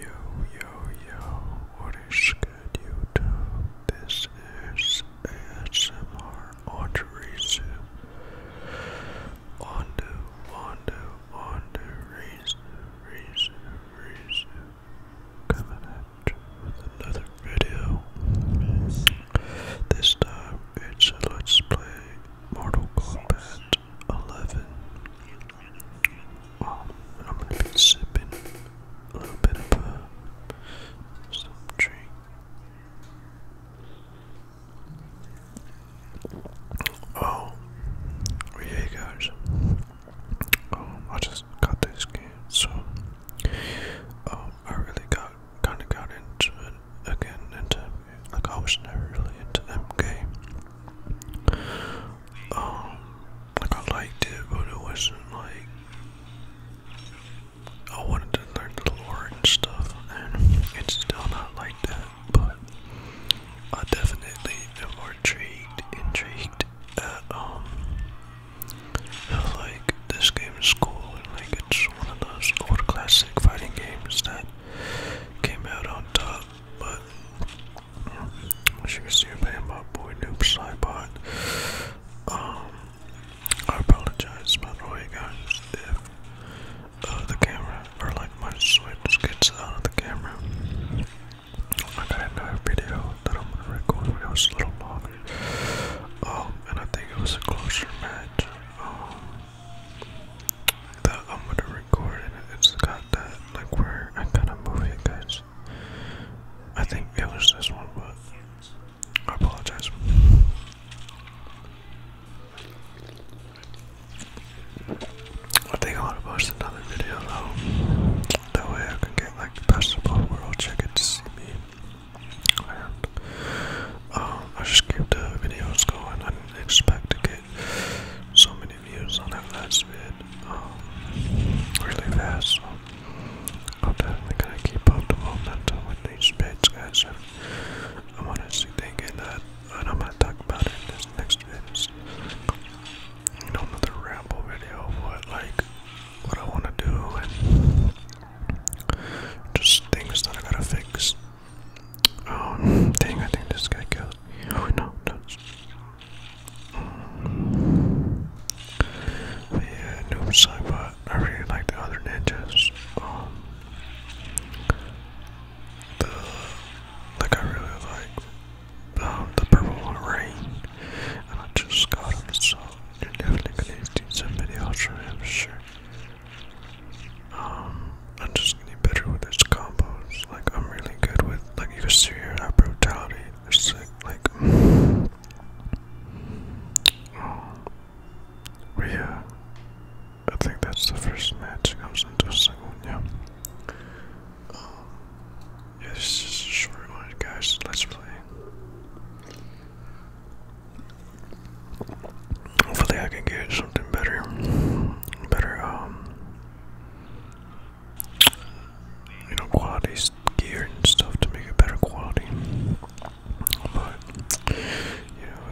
Yo, yo, yo, what is good, YouTube? This is ASMR Authorization. On the, on the, on the reason, reason, reason. Coming at you with another video. This time it's a Let's Play Mortal Kombat 11. I'm gonna be sipping a little bit of uh, some drink. Oh, oh yeah, guys. Um, I just got this game, so um, I really got kind of got into it again like I was never really into MK. Um, like I liked it, but it wasn't like I wanted to learn the lore and stuff, and it's still not like that. But I definitely am more intrigued, intrigued at um, like this game is cool and like it's one of those old classic fighting games that came out on top, but as you can see, I'm my boy Noob Slybot. Um, I apologize, by the way, guys, if uh, the camera or like my switch gets out of the camera. I got another video that I'm gonna record, a little longer. Um, and I think it was a closer match. Um, that I'm gonna record and it's got that like where I kinda move it guys. I think it was this one but I apologize. I think I wanna post another video though. That way I can get like the best of to see me um, I just keep the videos going. I didn't expect to get so many views on that last vid um, really fast. I'm definitely gonna keep up the momentum with these vids, guys. And I'm honestly thinking that, and I'm gonna talk about it in this next vid. you know, another ramble video of what like what I want to do just things that I gotta fix. Oh, dang, I think this guy killed. Oh, no, no. But yeah, noob side, but I really like the other ninjas. Um, the, like, I really like um, the purple one, Rain, and I just got him, so you're definitely gonna do somebody else, I'm sure. Um, I'm just getting better with these combos. Like, I'm really good with, like, you can see that brutality. It's sick. Like, oh, yeah, I think that's the first match. comes into the second um, yeah. this is just a short one, guys. Let's play. Hopefully, I can get something better, better um, you know, quality gear and stuff to make it better quality. But you know,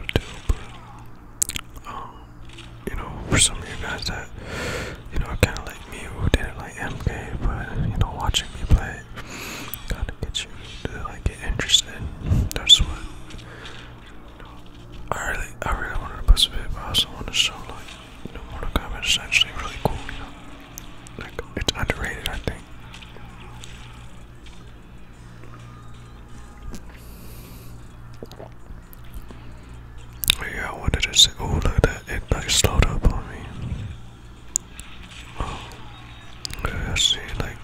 um, you know, for some of you guys that you know, kind of like me who didn't like MK, but you know, watching me play it. Gotta get you to like get interested. That's what. I really, I really wanted to post a video, but I also want to show like, you know, Mortal is actually really cool. You know, like it's underrated, I think. Yeah, I wanted to say, oh look that, it like slowed up on me. I see, like,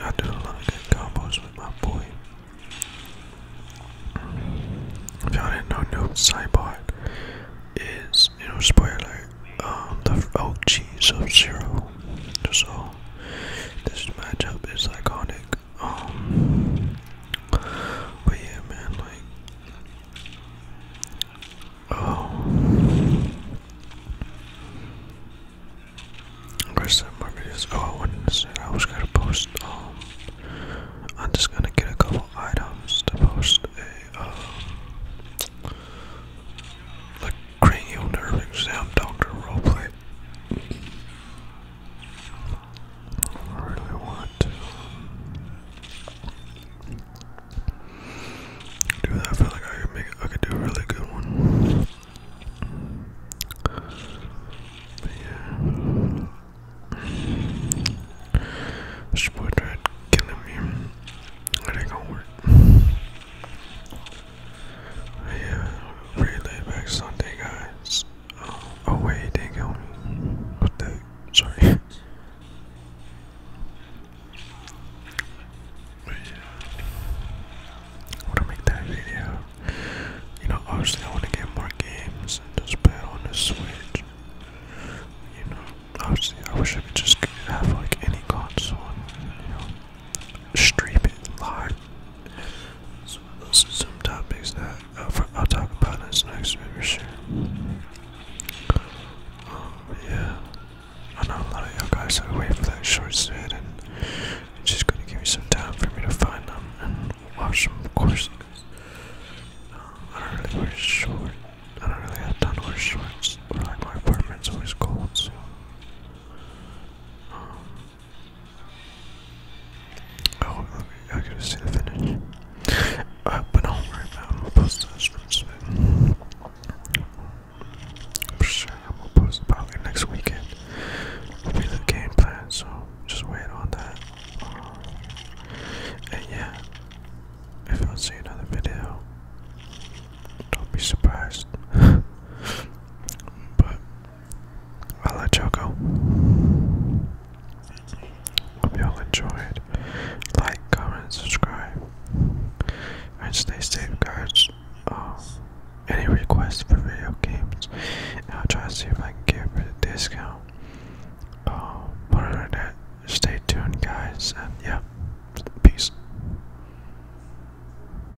I do a lot of good combos with my boy. If y'all didn't know, Noob Cyborg is, you know, spoiler, um, the OG Sub Zero. So, this matchup is iconic. Um, but yeah, man, like, Oh. There's some more videos. Oh, I was gonna post. Um, I'm just gonna get a couple items to post a um, like cranial nerve exam doctor roleplay. Where do I want? Dude, I feel like I could make I could do a really good one. But yeah. This boy tried killing me. That ain't going work. yeah, really Sunday guys. Oh, wait, they got me. What the? Sorry. I wanna make that video. You know, obviously I wanna get more games and play on the Switch. You know, obviously I wish I could just have like any console stream it live some, topics that I'll, talk about in this next video, um, yeah, I know a lot of y'all guys are waiting for that short set, and it's just gonna give me some time for me to find them and watch them, of course. Um, I don't really wear shorts. I don't really have time to wear shorts. like my apartment's always cold, so. Um, Oh, I gotta see the finish. Uh, but don't worry about I'm gonna post this from Smith. For sure, I'm gonna post probably next weekend. Will be the game plan, so just wait on that. Uh, and yeah, if I see another video, don't be surprised. but a la Choco. Hope y'all enjoyed. Like, comment, subscribe, and stay safe, guys. Um, any requests for video games, I'll try to see if I can give a discount. Um, other than that, stay tuned, guys, and yeah, peace.